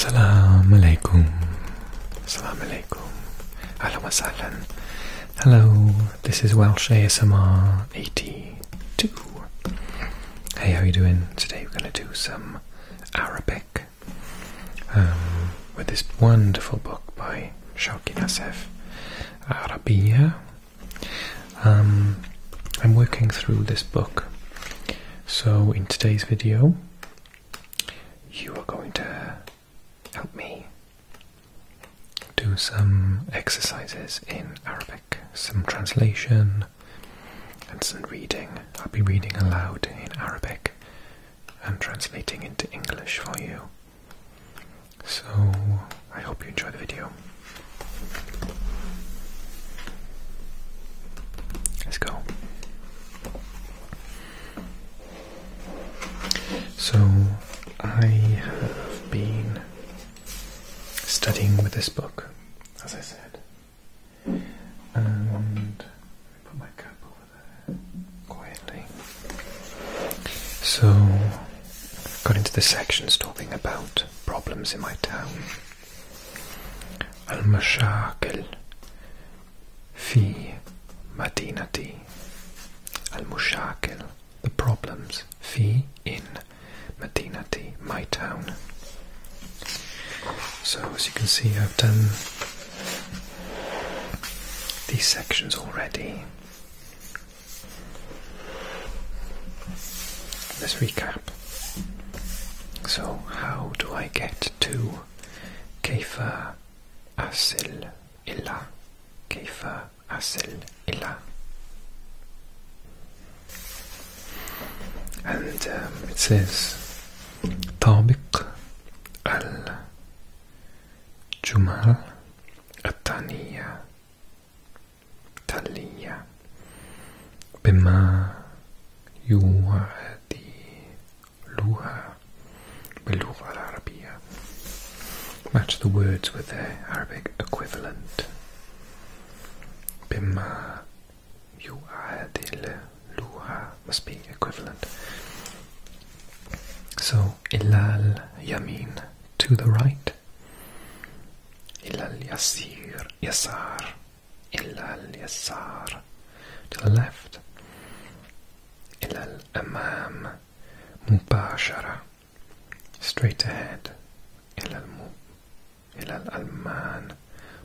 Salam alaikum. Salam alaikum. Ahlan Hello, this is Welsh ASMR 82. Hey, how you doing? Today we're going to do some Arabic um, with this wonderful book by Shawki Nassif, Arabia. Um, I'm working through this book so in today's video, you are going to help me do some exercises in Arabic, some translation and some reading. I'll be reading aloud in Arabic and translating into English for you. So I hope you enjoy the video. Let's go. So, I have been studying with this book, as I said, and put my cup over there quietly. So, got into the sections talking about problems in my town. Al fi في Al المشاكل the problems fi in مدينتي my town so as you can see I've done these sections already let's recap so, how do I get to Kaifa Asel Illa? Kaifa Asel Illa. And um, it says طابق الجمل الثانية تلية بما يوعدلوها باللغة العربية Match the words with their Arabic equivalent بما يوعدلوها must be equivalent So ilal yamin to the right ilal yasir yasar إلى اليسار to the left إلى الأمام مباشرة straight ahead إلى الم... إلى الألمان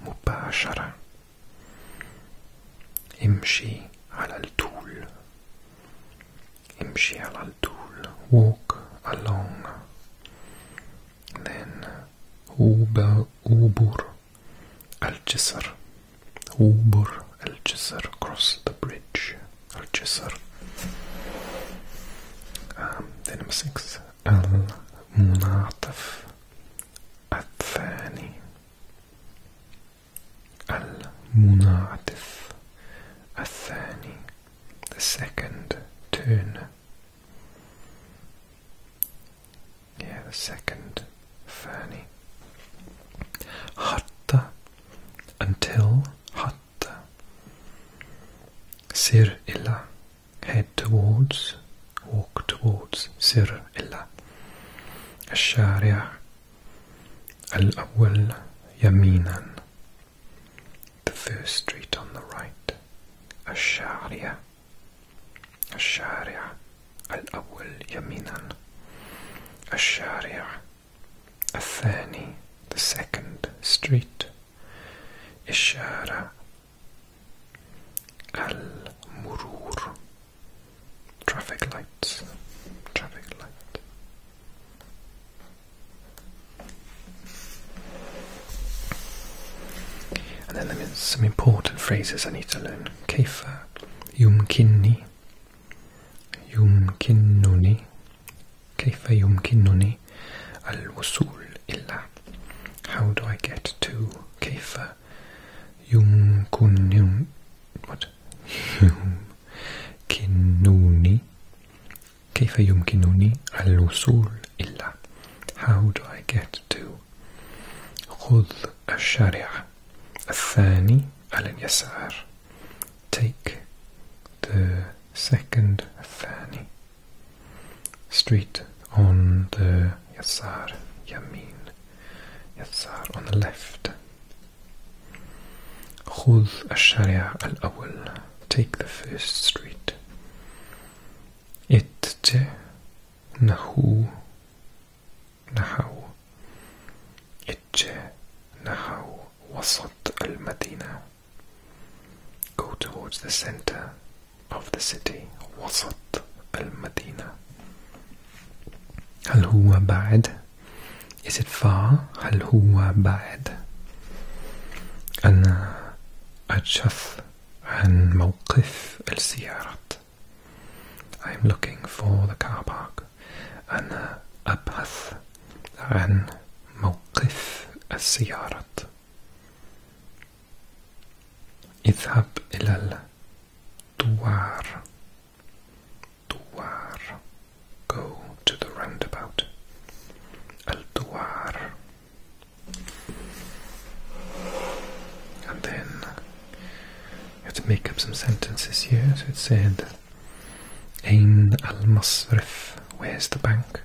مباشرة امشي على الطول امشي على الطول walk along then Ubur Al-Jisr. Ubur Al-Jisr. across the bridge. Al-Jisr. Um, then number six. Al-Munataf. الثاني المنعطف الثاني the second turn yeah, the second Fernie. Hatta until Hatta. Sir illa head towards, walk towards Sir illa. al الأول yaminan. the first street on the right الشارع الشارع الأول يمينا الشارع الثاني the second street الشارع المرور traffic lights And then there's some important phrases I need to learn. Kaifa, yumkinni, yumkinnuni, kaifa yumkinnuni, al-wusul illa. How do I get to kaifa yumkunnun, what? yumkinnuni, kaifa yumkinnuni, al-wusul illa. How do I get to خذ الشارع الثاني على اليسار take the second الثاني street on the يسار يمين يسار on the left خذ الشارع الأول take the first street اتت نحو نحو اتجه نحو وسط المدينة go towards the center of the city وسط المدينة هل هو بعد is it far هل هو بعد أنا أجف عن موقف السيارات I'm looking for the car park. أنا أبحث عن موقف السيارات. el al, الدوار. دوار. Go to the roundabout. الدوار. And then you have to make up some sentences here. So it said, Ain al Masrif, where's the bank?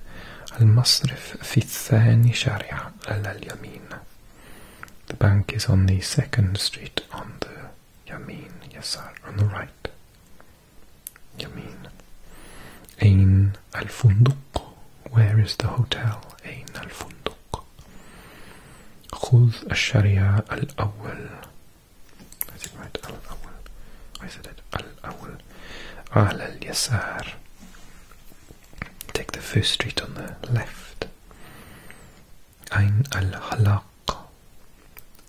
Al Masrif Fithani Sharia al Yamin. The bank is on the second street on the Yamin, Yasar, on the right. Yamin. Ain al Funduk, where is the hotel? Ain al Funduk. صدق خذ الشريعة الأول I think right الأول I said it الأول على اليسار take the first street on the left Ein al-Halaq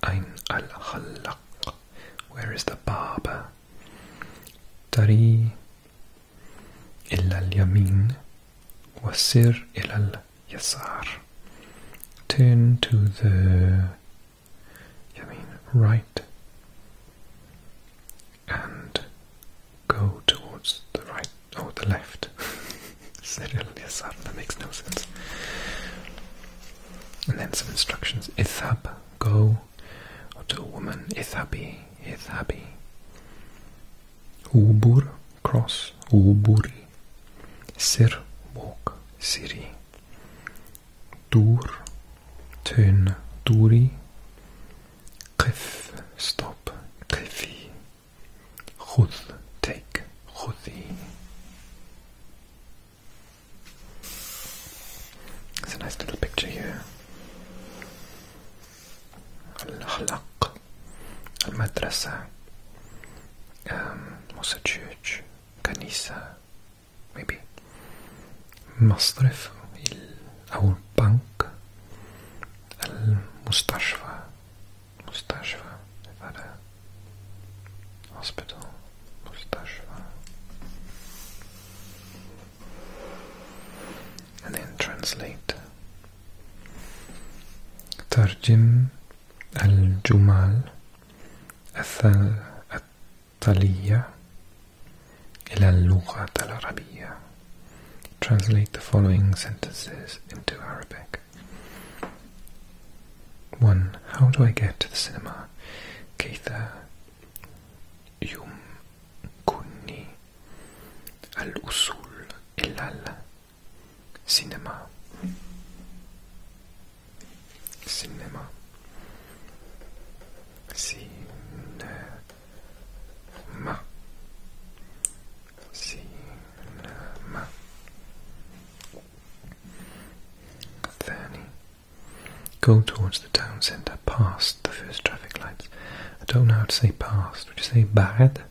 Ein al-Halaq Where is the barber Tariq إلى اليمين وسر إلى اليسار turn to the يمين right and go towards the right or the left سر إلى اليسار that makes no sense and then some instructions اذهب go to a woman اذهبي اذهبي ubur cross وبوري سر بوك سيري دور تون دوري قف ستوب قفي خذ تيك خذي It's a nice little picture here. الحلق المدرسة what's a church كنيسة maybe المصرف أو البنك المستشفى مستشفى هذا hospital مستشفى and then translate ترجم الجمل التالية إلى اللغة العربية. Translate the following sentences into Arabic. 1. How do I get to the cinema? كيف يمكنني al-usul et al-cinéma. Cinéma. Cinéma. Cinéma. Thirty. Go towards the town centre past the first traffic lights. I don't know how to say past. Would you say bad?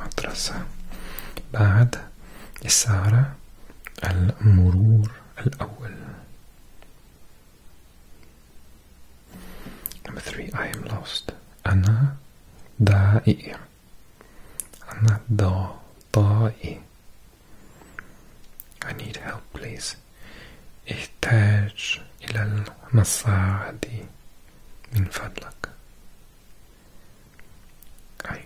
مدرسة بعد الساعة المرور الأول Number three, I am lost. أنا ضائع. أنا ضائع. I need help, please. احتاج إلى المساعدة. In Minfadlak. I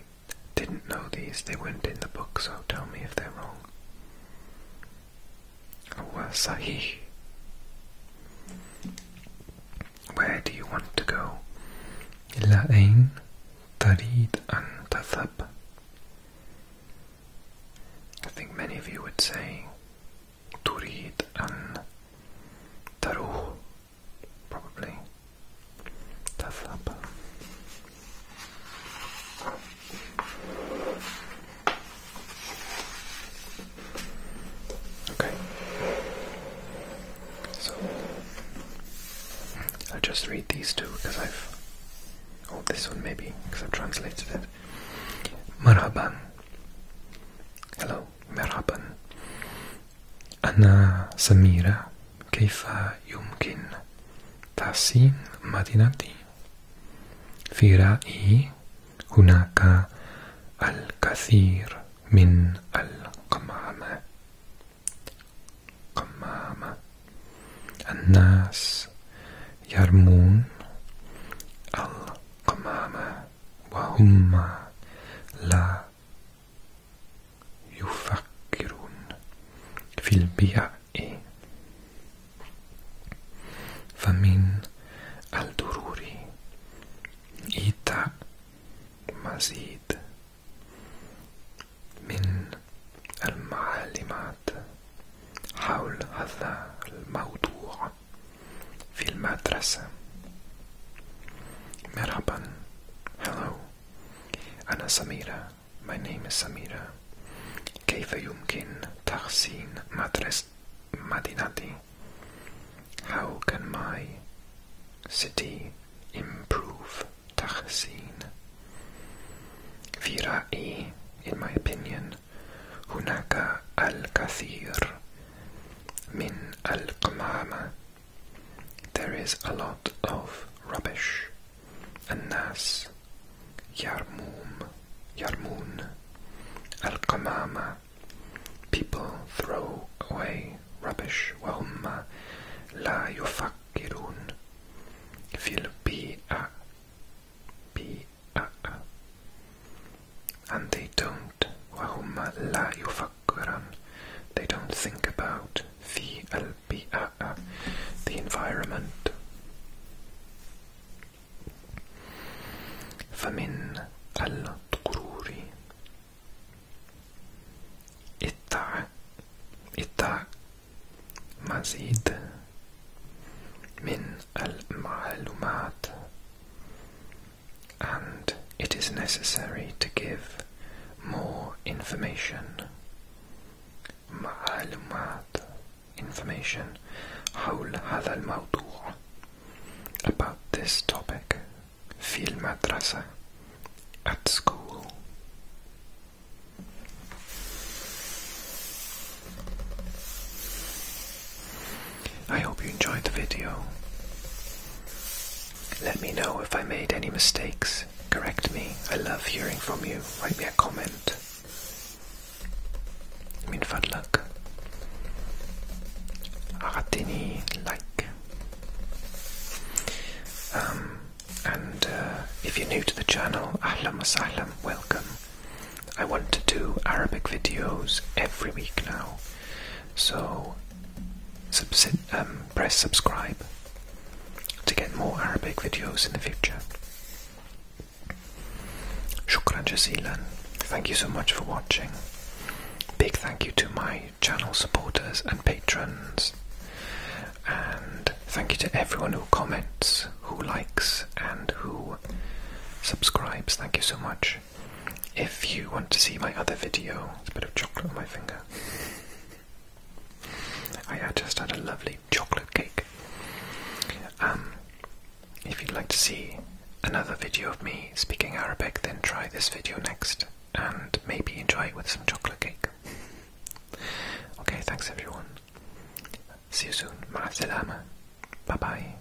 didn't know these, they weren't in the book, so tell me if they're wrong. Huwa Sahih. Where do you want to go? Ilā أين تريد أن تذهب? I think many of you would say to read and تروح probably تذهب Okay, so hmm, i just read these two because I've, oh this one maybe because i translated it. Marhaban, hello. مرحبا أنا سميرة كيف يمكن تحسين مدينتي في رأيي هناك الكثير من القمامة قمامة الناس يرمون القمامة وهم لا يفكرون في البيع فمن الضروري إيتاء مزيد من المعلومات حول هذا الموضوع في المدرسة مرحبا Hello أنا سميرة My name is سميرة كيف يمكن تحسين مدرسة مدينتي How can my city improve تحسين في رأيي in my opinion هناك الكثير Min al-Qamama. There is a lot of rubbish. An-Nas. Yarmum. Yarmun. Al-Qamama. People throw away rubbish. Wahumma la yufakkirun. Fil bi'a. Bi'a. and they don't وهم لا يفكرون they don't think about في البيئة the environment فمن الغرور اتع اتع مزيد من المعلومات and it is necessary to give more information. معلومات information حول هذا الموضوع about this topic fil المدرسة at school I hope you enjoyed the video. Let me know if I made any mistakes. Correct me. I love hearing from you. Write me a comment. I mean, fun luck. like. Um, and uh, if you're new to the channel, ahlam welcome. I want to do Arabic videos every week now. So um, press subscribe to get more Arabic videos in the future. Shukran jazilan. Thank you so much for watching. Big thank you to my channel supporters and patrons. And thank you to everyone who comments, who likes, and who subscribes. Thank you so much. If you want to see my other video, it's a bit of chocolate on my finger. I just had a lovely chocolate cake. Um, if you'd like to see another video of me speaking Arabic, then try this video next and maybe enjoy it with some chocolate cake. Okay, thanks everyone. See you soon. Ma salama. Bye bye.